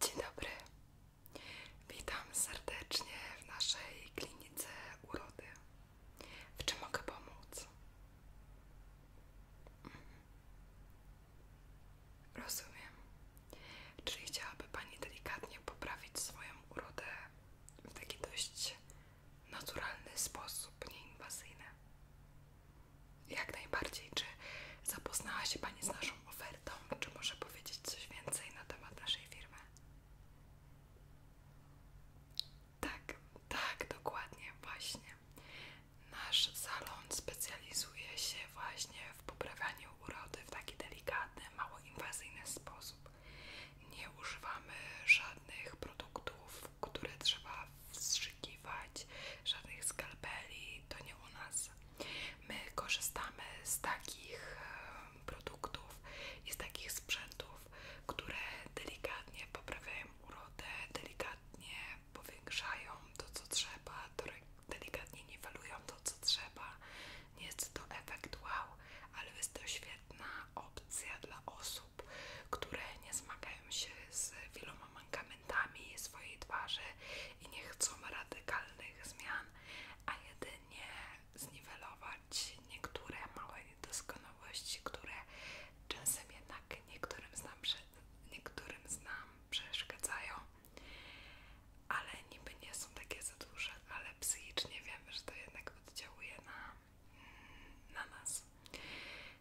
Dzień dobry, witam serdecznie w naszej klinice urody. W czym mogę pomóc? Mhm. Rozumiem. Czyli chciałaby Pani delikatnie poprawić swoją urodę w taki dość naturalny sposób, nie nieinwazyjny. Jak najbardziej, czy zapoznała się Pani z naszą ofertą? Czy może powiedzieć coś więcej na temat naszej firmy? Tak, tak, dokładnie, właśnie. Nasz salon specjalizuje się właśnie w poprawianiu urody w taki delikatny, mało inwazyjny sposób. Nie używamy żadnych produktów, które trzeba wstrzykiwać, żadnych skalpeli. To nie u nas My korzystamy z takich e, produktów i z takich sprzętów, które delikatnie poprawiają urodę, delikatnie powiększają to, co trzeba, delikatnie niwelują to, co trzeba. Nie jest to efekt wow, ale jest to świetna opcja dla osób, które nie zmagają się z wieloma mankamentami swojej twarzy i nie chcą radykalnych zmian, a jedynie zniwelować niektóre małe niedoskonałości, które czasem jednak niektórym z, nam, niektórym z nam przeszkadzają, ale niby nie są takie za duże, ale psychicznie wiemy, że to jednak oddziałuje na, na nas.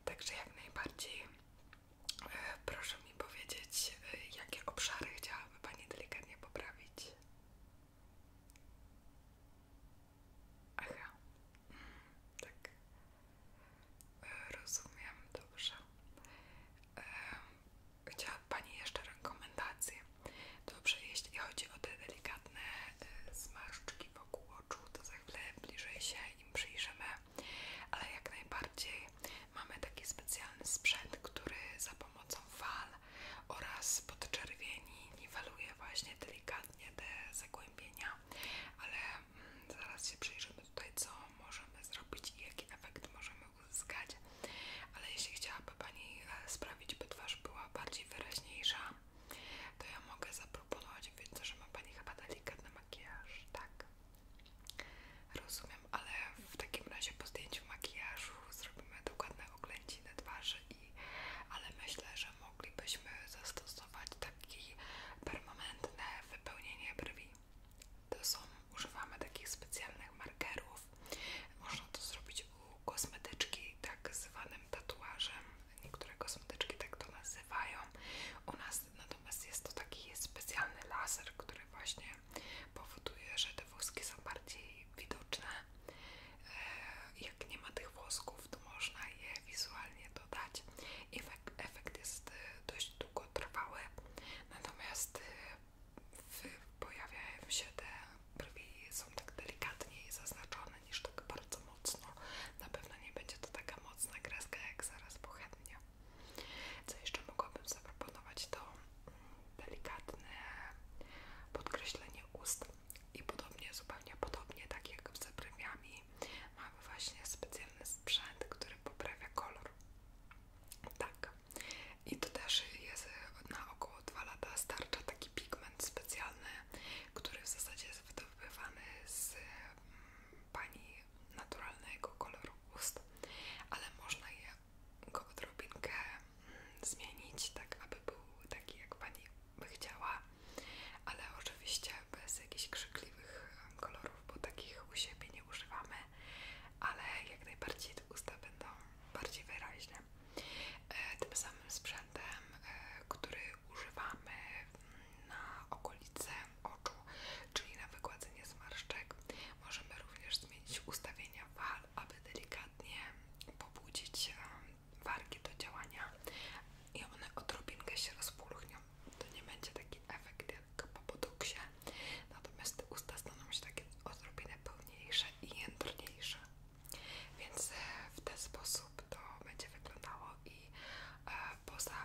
Także jak najbardziej Proszę mi powiedzieć, y, jakie obszary chciałaby Pani delikatnie poprawić? Aha, mm, tak. Rozumiem, dobrze. Chciałaby Pani jeszcze rekomendacje. Dobrze, jeśli chodzi o te delikatne y, zmarszczki wokół oczu, to za chwilę bliżej się im przyjrzymy ale jak najbardziej mamy taki specjalny sprzęt, który za pomocą fal oraz podczerwieni niweluje właśnie delikatnie te zagłębienia, ale mm, zaraz się przyjrzymy tutaj, co możemy zrobić i jaki efekt możemy uzyskać. Ale jeśli chciałaby Pani e, sprawić, by twarz była bardziej wyraźniejsza, to ja mogę zaproponować, więc że ma Pani chyba delikatny makijaż, tak? Rozumiem, ale w takim razie po zdjęciu makijażu zrobimy dokładne oględziny twarzy i ale myślę, że moglibyśmy zastosować takie permanentne wypełnienie brwi. To są, używamy takich specjalnych markerów. Można to zrobić u kosmetyczki, tak zwanym tatuażem. Niektóre kosmetyczki tak to nazywają. U nas natomiast jest to taki specjalny laser, który właśnie powoduje, że te włoski są bardziej widoczne. E, jak nie ma tych włosków, to można je wizualnie dodać. Efekt, efekt jest e, dość długotrwały, natomiast e, pojawiają się te brwi, są tak delikatniej zaznaczone niż tak bardzo mocno. Na pewno nie będzie to taka mocna kreska jak zaraz po chętnie. Co jeszcze mogłabym zaproponować, to mm, delikatne podkreślenie ust i podobnie, zupełnie podobnie, tak jak z premiami, mamy właśnie specjalny sprzęt, który poprawia kolor. Tak. I to też jest e, na około 2 lata starcza taki pigment specjalny, który w zasadzie jest wydobywany z mm, pani naturalnego koloru ust, ale można je go odrobinkę mm, zmienić, tak aby był taki jak Pani by chciała, ale oczywiście bez jakichś krzykliwych kolorów, bo takich u siebie nie używamy, ale jak najbardziej te usta będą bardziej wyraźne. E, tym samym sprzętem, e, który używamy mm, na okolice oczu, czyli na wygładzenie zmarszczek. Możemy również zmienić ustawienia fal, aby delikatnie pobudzić wargi do działania i one odrobinkę się rozpulchnią. To nie będzie taki efekt jak po poduksie, natomiast te usta staną się takie odrobinę pełniejsze i jędrniejsze. Więc e, w ten sposób to będzie wyglądało i e, poza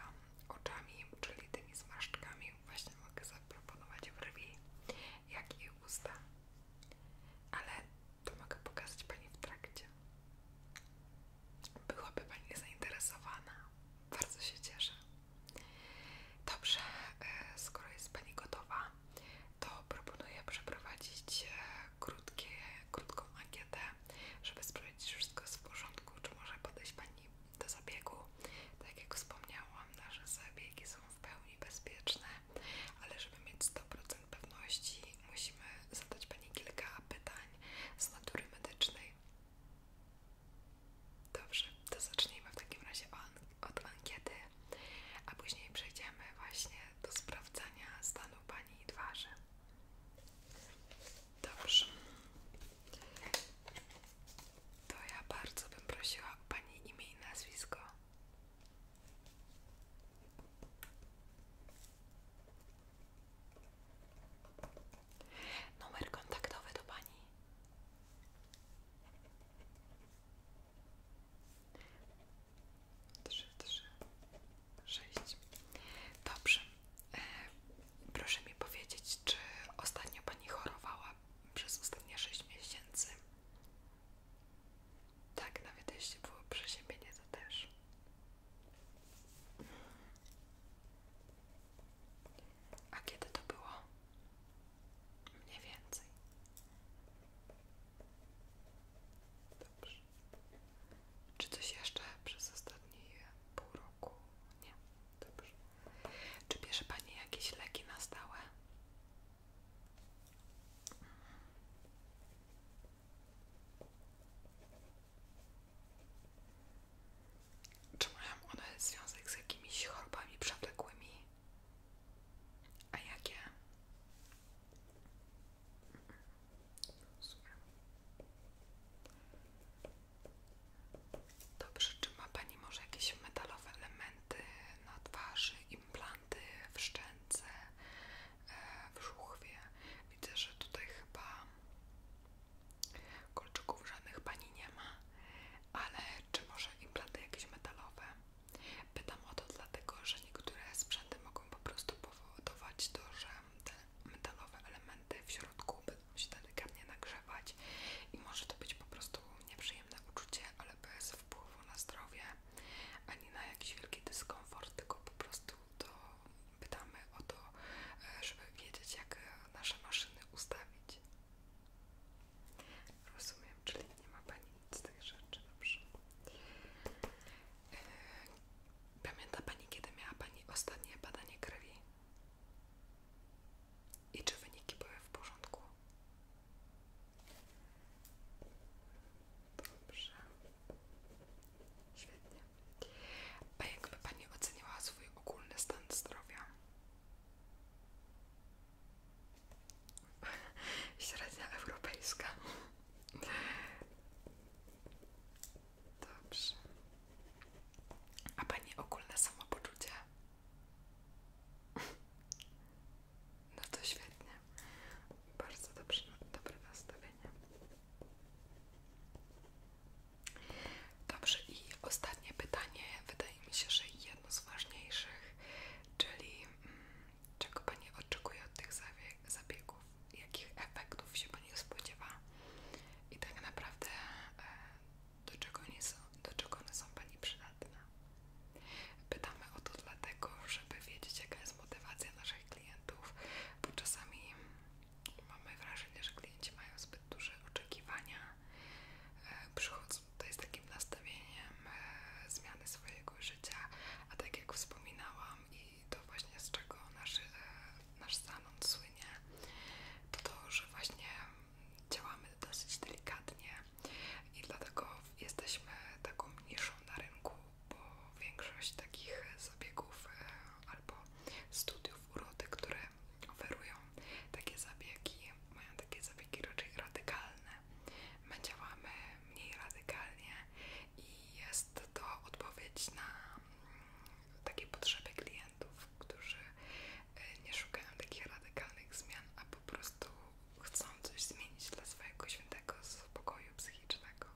oczami, czyli tymi zmarszczkami właśnie mogę zaproponować brwi, jak i usta. Ale to mogę pokazać Pani w trakcie. Byłaby Pani zainteresowana. Bardzo się cieszę. Dobrze, e, skoro jest Pani gotowa, to proponuję przeprowadzić e, krótkie, krótką ankietę, żeby sprawdzić, czy wszystko jest w porządku, czy może podejść Pani do zabiegu. Tak jak wspomniałam, nasze zabiegi są w pełni bezpieczne, ale żeby mieć 100% pewności, musimy zadać Pani kilka pytań z natury medycznej. Dobrze, to zacznijmy w takim razie od ankiety, a później przejdziemy właśnie do sprawdzania stanu Pani twarzy. Dobrze. To ja bardzo bym prosiła o Pani imię i nazwisko. Numer kontaktowy do Pani. Trzy, trzy, sześć. Dobrze. E, proszę mi powiedzieć, czy ostatnio Pani chorowała przez ostatnie 6 miesięcy. Tak, nawet jeśli było przeziębienie, to też. A kiedy to było? Mniej więcej. Dobrze. Czy coś jeszcze przez ostatnie pół roku? Nie. Dobrze. Czy bierze Pani jakieś leki na stałe? Czy mają one związek z jakimiś chorobami przewlekłymi? A jakie? Dobrze, czy ma Pani może jakieś metalowe elementy na twarzy, implanty w szczęce, e, w żuchwie? Widzę, że tutaj chyba kolczyków żadnych Pani nie ma, ale czy może implanty jakieś metalowe? Pytam o to dlatego, że niektóre sprzęty mogą po prostu powodować to, że te metalowe elementy w środku się delikatnie nagrzewać i może to być po prostu nieprzyjemne uczucie, ale bez wpływu na zdrowie ani na jakiś wielki dyskomfort, tylko po prostu to pytamy o to, e, żeby wiedzieć jak e, nasze maszyny ustawić. Rozumiem, czyli nie ma Pani nic z tych rzeczy, dobrze. E, pamięta Pani, kiedy miała Pani ostatnie badanie krwi? i czy wyniki były w porządku. Dobrze. Świetnie. A jakby Pani oceniła swój ogólny stan zdrowia? Średnia europejska. Dobrze. A Pani ogólne samopoczucie? No to świetnie. Bardzo dobrze, dobre nastawienie. Dobrze, i ostatnie pytanie, wydaje mi się, że jedno z ważniejszych, czyli mm, czego Pani oczekuje od tych zabiegów, jakich efektów się Pani spodziewa i tak naprawdę e, do czego, nie są, do czego one są Pani przydatne. Pytamy o to dlatego, żeby wiedzieć, jaka jest motywacja naszych klientów, bo czasami mamy wrażenie, że klienci mają zbyt duże oczekiwania, e, przychodzą tutaj z takim nastawieniem e, zmiany swojego życia, a tak jak wspominałam i to właśnie z czego nasz, e, nasz salon słynie, to to, że właśnie działamy dosyć delikatnie i dlatego jesteśmy taką mniejszą na rynku, bo większość takich zabiegów e, albo studiów urody, które oferują takie zabiegi, mają takie zabiegi raczej radykalne. My działamy mniej radykalnie i jest to odpowiedź na mm, takie potrzeby klientów, którzy E, nie szukają takich radykalnych zmian, a po prostu chcą coś zmienić dla swojego świętego spokoju psychicznego.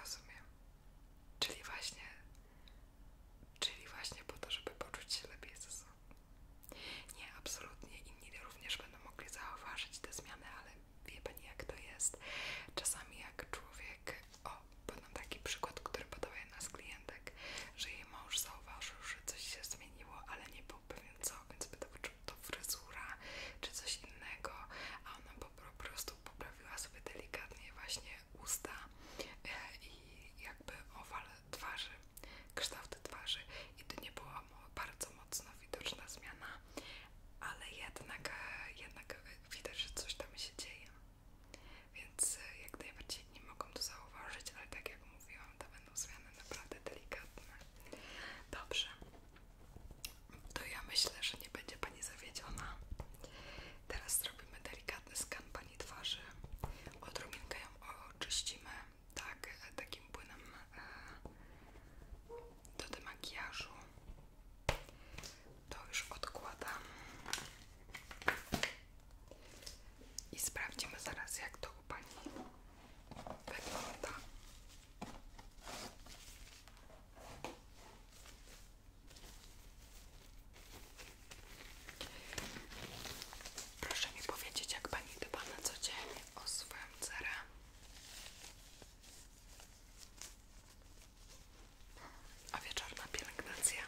Rozumiem. Czyli właśnie, czyli właśnie po to, żeby poczuć się lepiej ze sobą. Nie, absolutnie inni również będą mogli zauważyć te zmiany, ale wie Pani jak to jest. Czasami jak człowiek, o, podam taki przykład, który podała jedna z klientek, że jej mąż zauważył, że coś się zmieniło, ale nie był pewien co, więc pytał, czy to fryzura, czy coś innego, a ona po prostu poprawiła sobie delikatnie właśnie usta e, i jakby owal twarzy, kształt twarzy i to nie była bardzo mocno widoczna zmiana, ale jednak, jednak widać, że coś tam się dzieje. Więc e, jak najbardziej nie mogą to zauważyć, ale tak jak mówiłam, to będą zmiany naprawdę delikatne. Dobrze, to ja myślę, że nie będzie Pani zawiedziona. Teraz zrobimy delikatny skan Pani twarzy. Odrobinkę ją oczyścimy, tak, e, takim płynem e, do demakijażu. To już odkładam. I sprawdzimy zaraz, jak to u Pani wygląda. Proszę mi powiedzieć, jak Pani dba na co dzień o swoją a wieczorna pielęgnacja.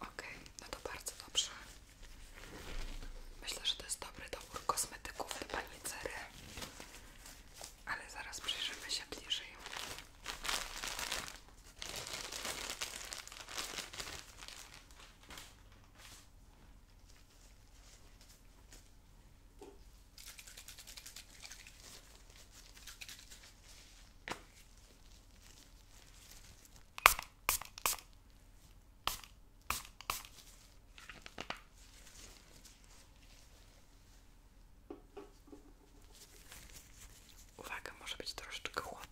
Ok, no to bardzo dobrze. Myślę, że to jest dobry dobór kosmetyków do pani Ale zaraz przyjrzymy się bliżej. Uwaga, może być troszeczkę chłodne.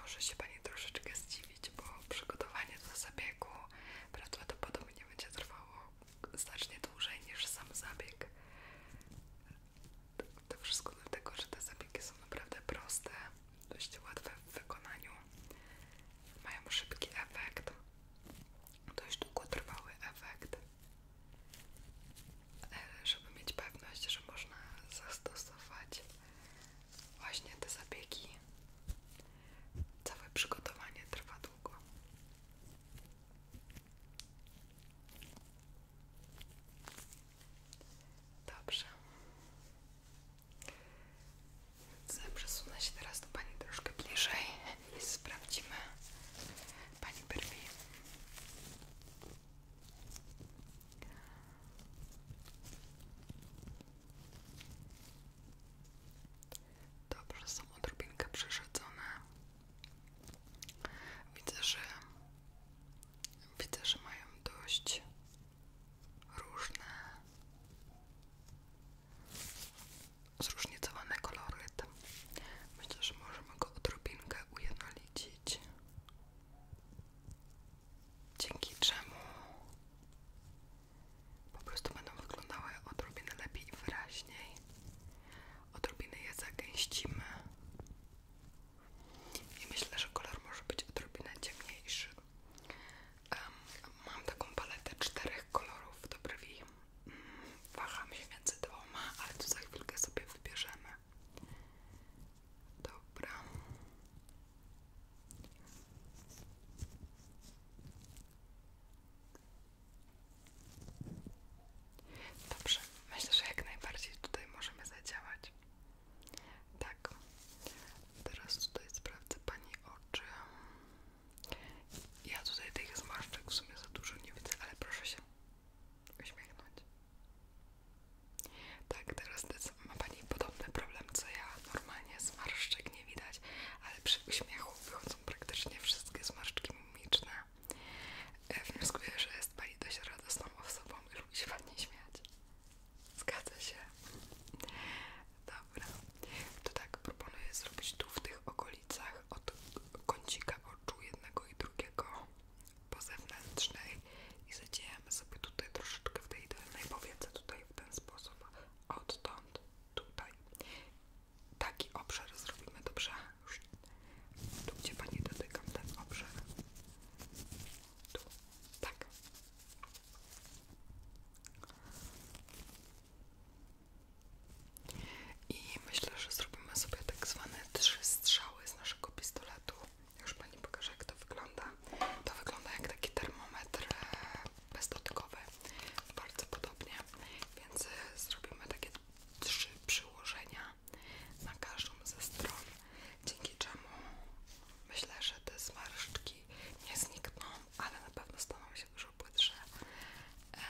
Może się Pani troszeczkę zdziwić, bo przygotowanie do zabiegu prawdopodobnie będzie trwało znacznie dłużej niż sam zabieg. To wszystko dlatego, że te zabiegi są naprawdę proste, dość łatwe w wykonaniu, mają szybki efekt, dość długotrwały efekt. E, żeby mieć pewność, że można zastosować właśnie te zabiegi, całe przygotowanie trwa długo. Dobrze. Przesunę się teraz do Pani troszkę bliżej i sprawdzimy Pani brwi. Dobrze, są odrobinkę przerzedzone. Widzę, że widzę, że mają dość różne zróżnicowane kolory, Myślę, że możemy go odrobinkę ujednolicić. Dzięki czemu po prostu będą wyglądały odrobinę lepiej i wyraźniej odrobinę je zagęścimy i myślę, że kolor może być odrobinę ciemniejszy. Um, mam taką paletę czterech kolorów do brwi. Um, się między dwoma, ale tu za chwilkę sobie wybierzemy. Dobra. Dobrze, myślę, że jak najbardziej tutaj możemy zadziałać. Tak, teraz tutaj sprawdzę Pani oczy. Ja tutaj tych zmarszczek w sumie za dużo nie widzę, ale proszę się uśmiechnąć. Tak, teraz ma Pani podobny problem co ja. Normalnie zmarszczek nie widać, ale przy uśmiechu wychodzą praktycznie wszystkie zmarszczki mimiczne. E, wnioskuję, że jest pani dość radosną osobą i lubi się ładnie śmiać. Zgadza się. Dobra. To tak proponuję zrobić tu w tych okolicach od kącika oczu jednego i drugiego po zewnętrznej i zadziejemy sobie tutaj troszeczkę w tej dolnej powiece tutaj w ten sposób odtąd tutaj taki obszar zrobimy, dobrze? tu, gdzie Pani dotykam, ten obszar. Tu, tak. I myślę, że zrobimy sobie tak zwane trzy strzały z naszego pistoletu. Już Pani pokaże, jak to wygląda. To wygląda jak taki termometr e, bezdotykowy, bardzo podobnie, więc e, zrobimy takie trzy przyłożenia na każdą ze stron, dzięki czemu myślę, że te zmarszczki nie znikną, ale na pewno staną się dużo płytsze. E,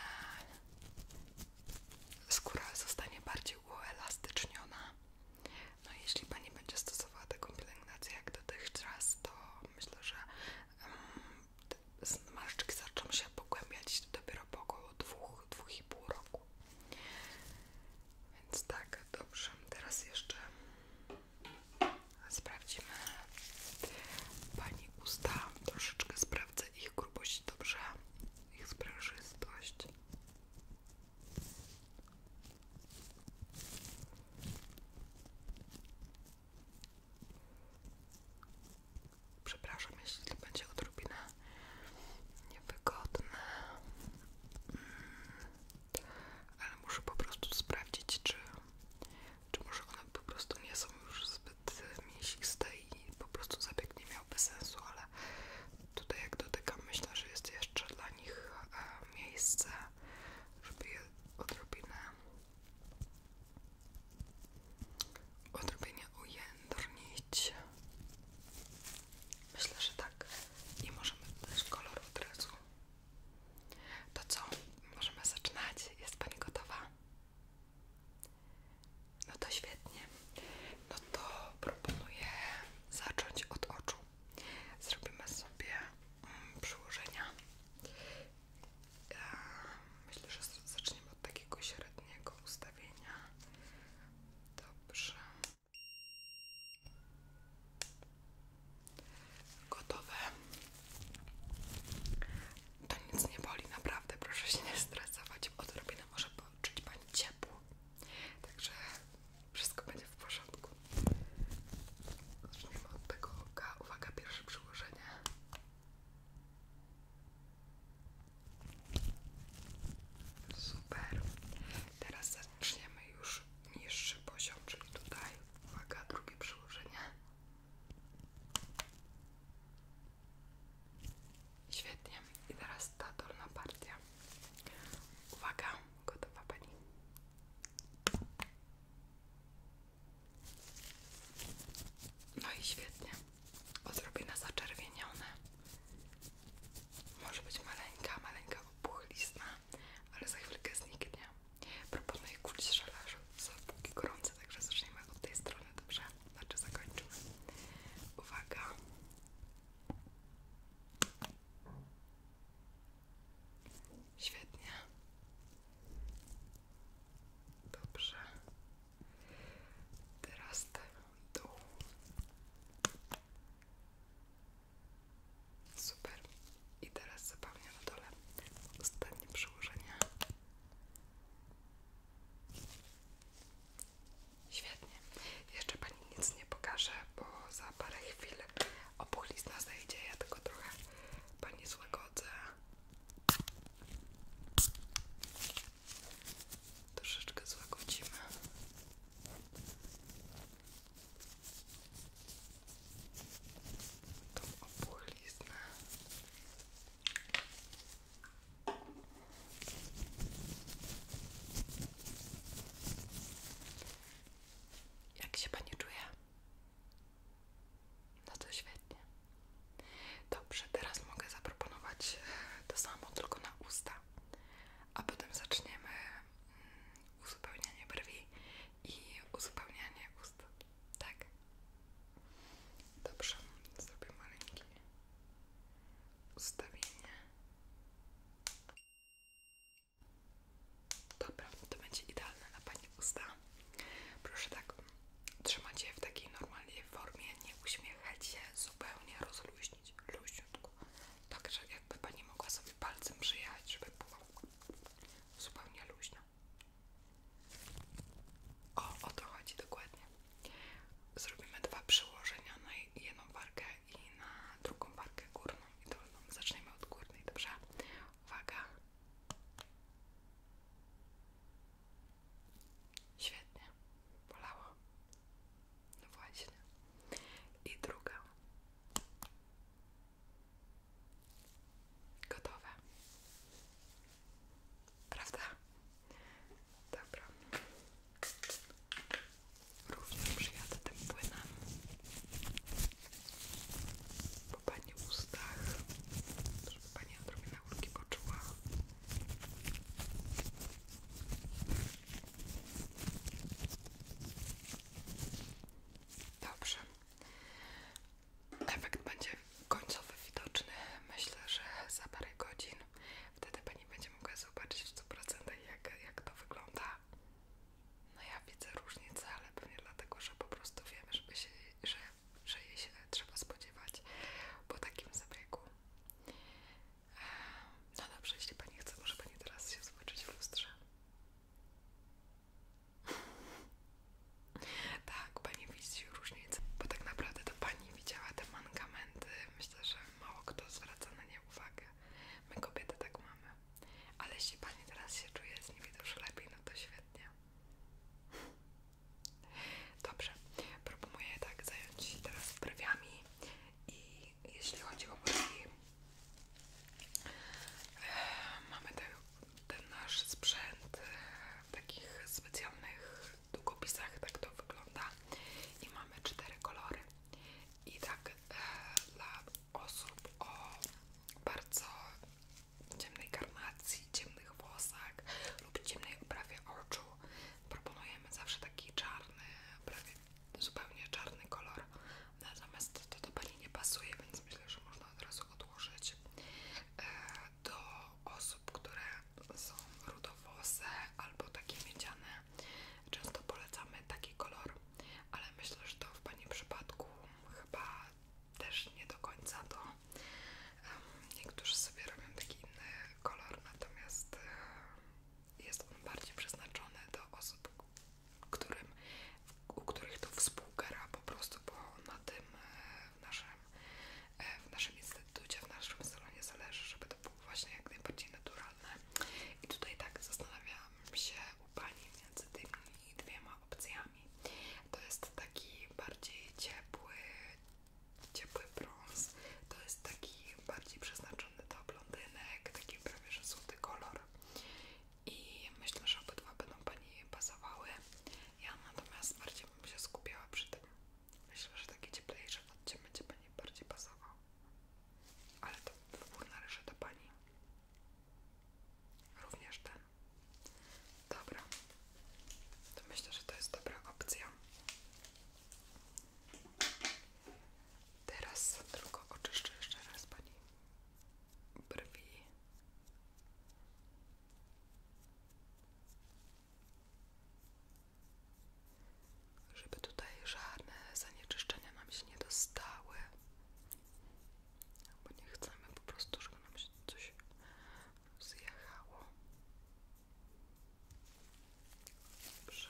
skóra zostanie bardziej uelastyczniona. No jeśli Pani będzie stosowała taką pielęgnację jak dotychczas, to myślę, że mm, zmarszczki zaczną się pogłębiać dopiero po około 2-2,5 roku. Więc tak, dobrze. Teraz jeszcze sprawdzimy Pani usta. Troszeczkę sprawdzę ich grubość, dobrze? Ich sprężystość. Przepraszam, jeśli będzie odrobinę niewygodne, mm. ale muszę po prostu sprawdzić, czy, czy może one po prostu nie są już zbyt mięsiste i po prostu zabieg nie miałby sensu, ale tutaj jak dotykam, myślę, że jest jeszcze dla nich e, miejsce, żeby je odrobinę odrobienia ujędrnić. Myślę, że tak. I możemy dać kolor od razu. To co? Możemy zaczynać. Jest Pani gotowa? No to świetnie. No to proponuję zacząć od oczu. Zrobimy sobie mm, przyłożenia Eee, myślę, że zaczniemy od takiego średniego ustawienia. Dobrze. Gotowe. To nic nie boli, naprawdę. Proszę się nie stresować. Odrobinę może poczuć Pani ciepło. Także wszystko będzie w porządku. Zaczniemy od tego oka. Uwaga, pierwsze przyłożenie. Super. Teraz zaczniemy już niższy poziom, czyli tutaj. Uwaga, drugie przyłożenie. Świetnie. I teraz ta dolna partia. Uwaga, gotowa pani. No i świetnie odrobinę zaczerwienione. Może być maleńka, maleńka opuchlizna, ale za chwilkę zniknie. Proponuję kulić żelazo, są póki gorące, także zaczniemy od tej strony, dobrze? Znaczy zakończymy. Uwaga! Świetnie. Dobrze. Teraz ten dół. Super. I teraz zapewnię na dole ostatnie przyłożenie. Świetnie. Jeszcze Pani nic nie pokaże, bo za parę chwil opuchlizna zejdzie. Ja tylko trochę Pani złagodzę troszeczkę złagodzimy. Tą opuchliznę. Jak się pani czuje? No to świetnie. Dobrze, teraz mogę zaproponować e, to samo, tylko na usta, a potem zaczniemy mm, uzupełnianie brwi i uzupełnianie ust. Tak? Dobrze, zrobię maleńkie ustawienie. Dobra, to będzie idealne na Pani usta. Proszę tak, trzymać je w takiej normalnej formie, nie uśmiechać się, zupełnie rozluźnić, luźniutko. Tak, że jakby Pani mogła sobie palcem przyjechać, żeby było zupełnie luźno. O, o to chodzi dokładnie. Zrobimy dwa przyłożenia na jedną warkę i na drugą warkę górną i dolną. No, zaczniemy od górnej, dobrze? Uwaga. Świetnie, bolało. No właśnie. I druga. gotowa, Prawda? Dobra. Również przyjadę tym płynem. Po pani ustach, żeby pani całego czuła. Dobrze. Efekt będzie końcowy widoczny. Myślę, że za parę godzin wtedy pani będzie mogła zobaczyć w 100% jak, jak to wygląda. No ja widzę różnicę, ale pewnie dlatego, że po prostu wiem, żeby się, że że jej się trzeba spodziewać po takim zabiegu. No dobrze, jeśli Pani chce, może Pani teraz się zobaczyć w lustrze. tak, Pani widzi różnicę, bo tak naprawdę to Pani widziała te mankamenty. Myślę, że mało kto zwraca na nie uwagę. My kobiety tak mamy. Ale jeśli Pani teraz się czuje z niej dużo lepiej, no to świetnie. Dobrze, proponuję tak zająć się teraz brwiami i jeśli chodzi o brwi, e, mamy ten nasz sprzęt e, w takich specjalnych długopisach, tak to wygląda i mamy cztery kolory i tak e, dla osób o bardzo ciemnej karnacji, ciemnych włosach lub ciemnej oprawie oczu proponujemy zawsze taki czarny, prawie zupełnie czarny kolor. Natomiast to do Pani nie pasuje, więc myślę, że można od razu odłożyć e, do osób, które są rudowłose albo takie miedziane. Często polecamy taki kolor, ale myślę, że to w Pani przypadku chyba też nie do końca to Niektórzy sobie robią taki inny kolor, natomiast e, jest on bardziej przeznaczony do osób, którym, u których to współgra po prostu, bo na tym e, w naszym, e, w naszym instytucie, w naszym salonie zależy, żeby to było właśnie jak najbardziej naturalne. I tutaj tak zastanawiam się u Pani między tymi dwiema opcjami. To jest taki bardziej ciepły, ciepły brąz. To jest taki bardziej przeznaczony do blondynek, taki prawie że złoty kolor. I myślę, że obydwa będą Pani pasowały. Ja natomiast bardziej bym się skupiała przy tym. Myślę, że taki cieplejszy odcień będzie Pani bardziej pasował. Ale to wybór należy do Pani. Również ten. Dobra, to myślę, że to jest dobra opcja. Teraz tylko oczyszczę jeszcze raz pani brwi. Żeby tutaj żadne zanieczyszczenia nam się nie dostały. Bo nie chcemy po prostu, żeby nam się coś zjechało. Dobrze.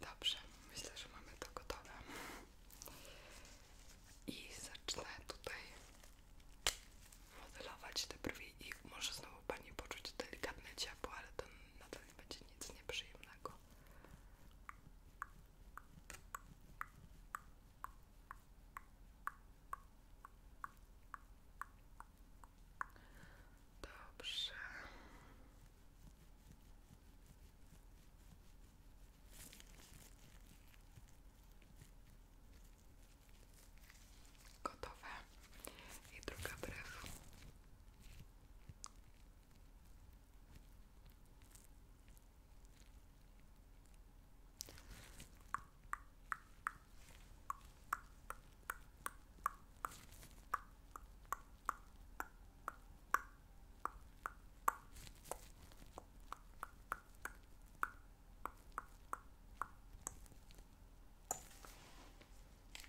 Dobrze, myślę, że mamy to gotowe i zacznę tutaj modelować te brwi i może znowu Pani poczuć delikatne ciepło, ale to nadal nie będzie nic nieprzyjemnego. Dobrze. Gotowe. I druga brwi.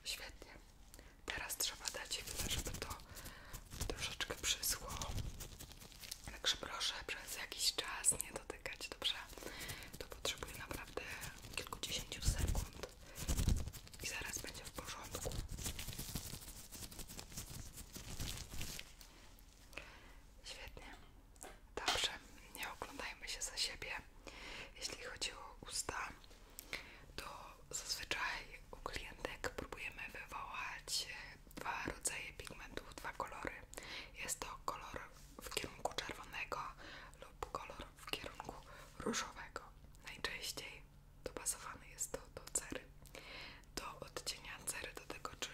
Świetnie. Teraz trzeba dać chwilę, żeby to troszeczkę przysło. Także proszę przez jakiś czas nie dotykać, dobrze? To potrzebuje naprawdę kilkudziesięciu sekund i zaraz będzie w porządku. Świetnie. Dobrze, nie oglądajmy się za siebie. Jeśli chodzi o usta, to zazwyczaj u klientek próbujemy wywołać e, dwa rodzaje pigmentów, dwa kolory. Jest to kolor w kierunku czerwonego lub kolor w kierunku różowego. Najczęściej dopasowany jest to do cery, do odcienia cery, do tego czy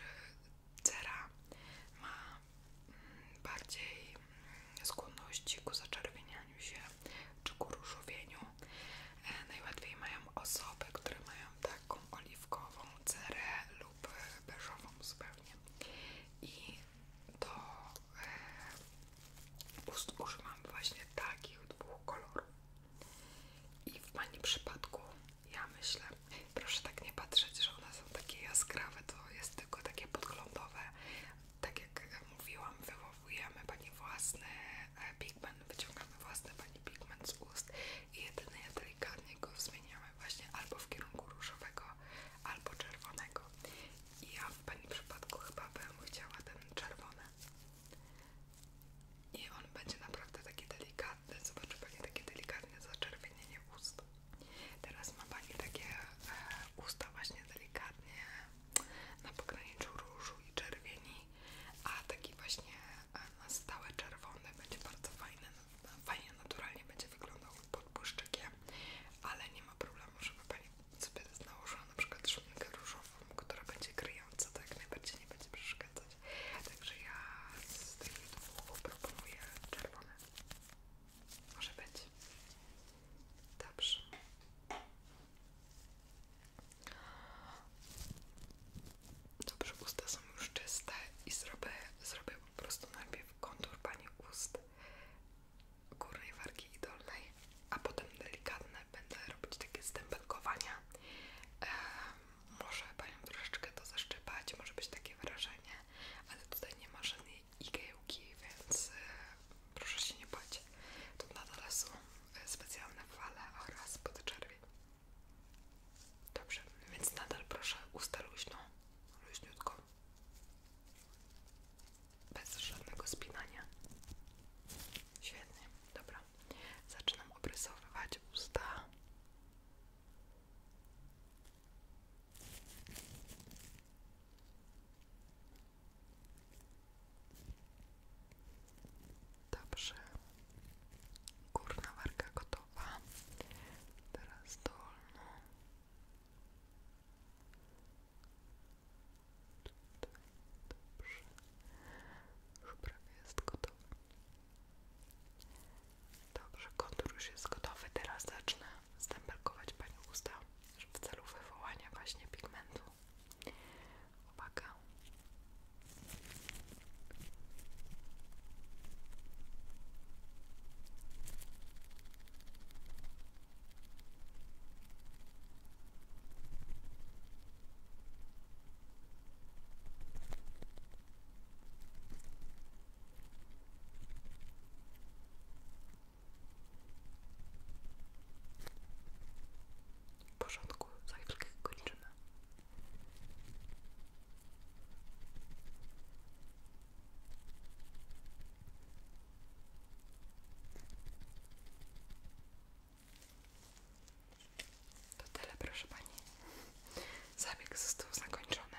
cera ma bardziej skłonności ku zaczerwienianiu się czy ku różowieniu. E, najłatwiej mają osoby, które mają taką oliwkową cerę lub beżową zupełnie. I do e, ust używam właśnie takich dwóch kolorów. I w Pani przypadku ja myślę, proszę tak nie patrzeć, że one są takie jaskrawe, to jest tylko takie podglądowe. Tak jak mówiłam, wywołujemy Pani własny e, pigment, wyciągamy własny Pani pigment z ust i jedynie delikatnie go zmieniamy właśnie albo w kierunku różowego, albo czerwonego. I ja w Pani przypadku chyba bym chciała ten czerwony. I on będzie naprawdę taki delikatny, zobaczy Pani takie delikatne zaczerwienienie ust. Teraz ma Pani takie e, usta właśnie delikatnie na pograniczu różu i czerwieni, a taki właśnie e, na stałe czerwony będzie bardzo fajny, fajnie naturalnie będzie wyglądał pod błyszczykiem, ale nie ma problemu, żeby Pani sobie nałożyła na przykład szminkę różową, która będzie kryjąca, tak najbardziej nie będzie przeszkadzać. Także ja z tych dwóch proponuję czerwone. Może być. Dobrze. Dobrze, usta są już czyste i zrobię, zrobię po prostu najpierw kontur pani ust górnej wargi i dolnej, a potem delikatne będę robić takie stempelkowania może Panią troszeczkę to zaszczypać, może być takie wrażenie, ale tutaj nie ma żadnej igiełki, więc e, proszę się nie bać. To nadal są e, specjalne fale oraz podczerwień. Dobrze, więc nadal proszę usta luźno, luźniutko, bez żadnego spinania. Świetnie, dobra. Zaczynam obrysowywać usta. Dobrze, górna warga gotowa, teraz dolną. Dobrze, już jest gotowa. Dobrze, kontur już jest gotowy. Teraz zacznę stempelkować Pani usta w celu wywołania właśnie pigmentu. Uwaga. W porządku, za chwilkę kończymy. To został zakończony.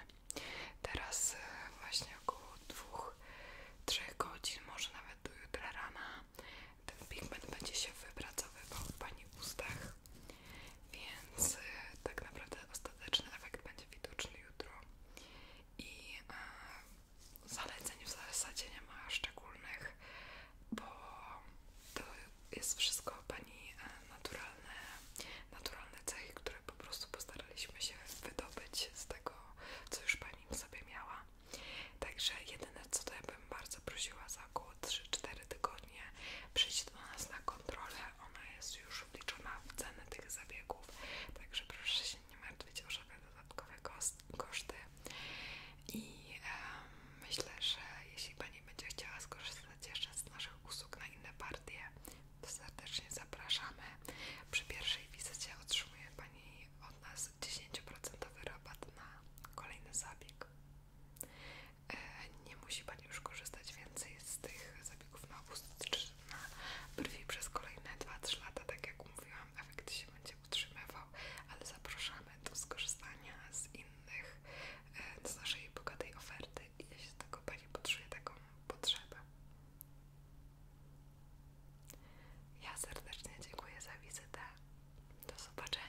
Teraz e, właśnie około 2-3 godzin, może nawet do jutra rana ten pigment będzie się wypracowywał w Pani ustach, więc e, tak naprawdę ostateczny efekt będzie widoczny jutro i e, zaleceń w zasadzie nie ma szczególnych, bo to jest wszystko Pani e, naturalne, naturalne cechy, po prostu postaraliśmy się wydobyć z tego, co już pani w sobie miała. Także jedyne co to ja bym bardzo prosiła za około 3-4 tygodnie przyjść do nas na kontrolę. Ona jest już obliczona w cenę tych zabiegów, także proszę się nie martwić o żadne dodatkowe koszty. I myślę, że jeśli pani będzie chciała skorzystać jeszcze z naszych usług na inne partie, to serdecznie zapraszamy. Przy pierwszej wizycie otrzymuje Pani od nas 10% rabat na kolejny zabieg. E, nie musi Pani już korzystać więcej z tych zabiegów na obóz czy na brwi przez kolejne 2-3 lata, tak jak mówiłam, efekt się będzie utrzymywał, ale zapraszamy do skorzystania z innych, e, z naszej bogatej oferty naprawdę ja się z tego pani taką potrzebę. Ja serdecznie dziękuję za wizytę. Do zobaczenia.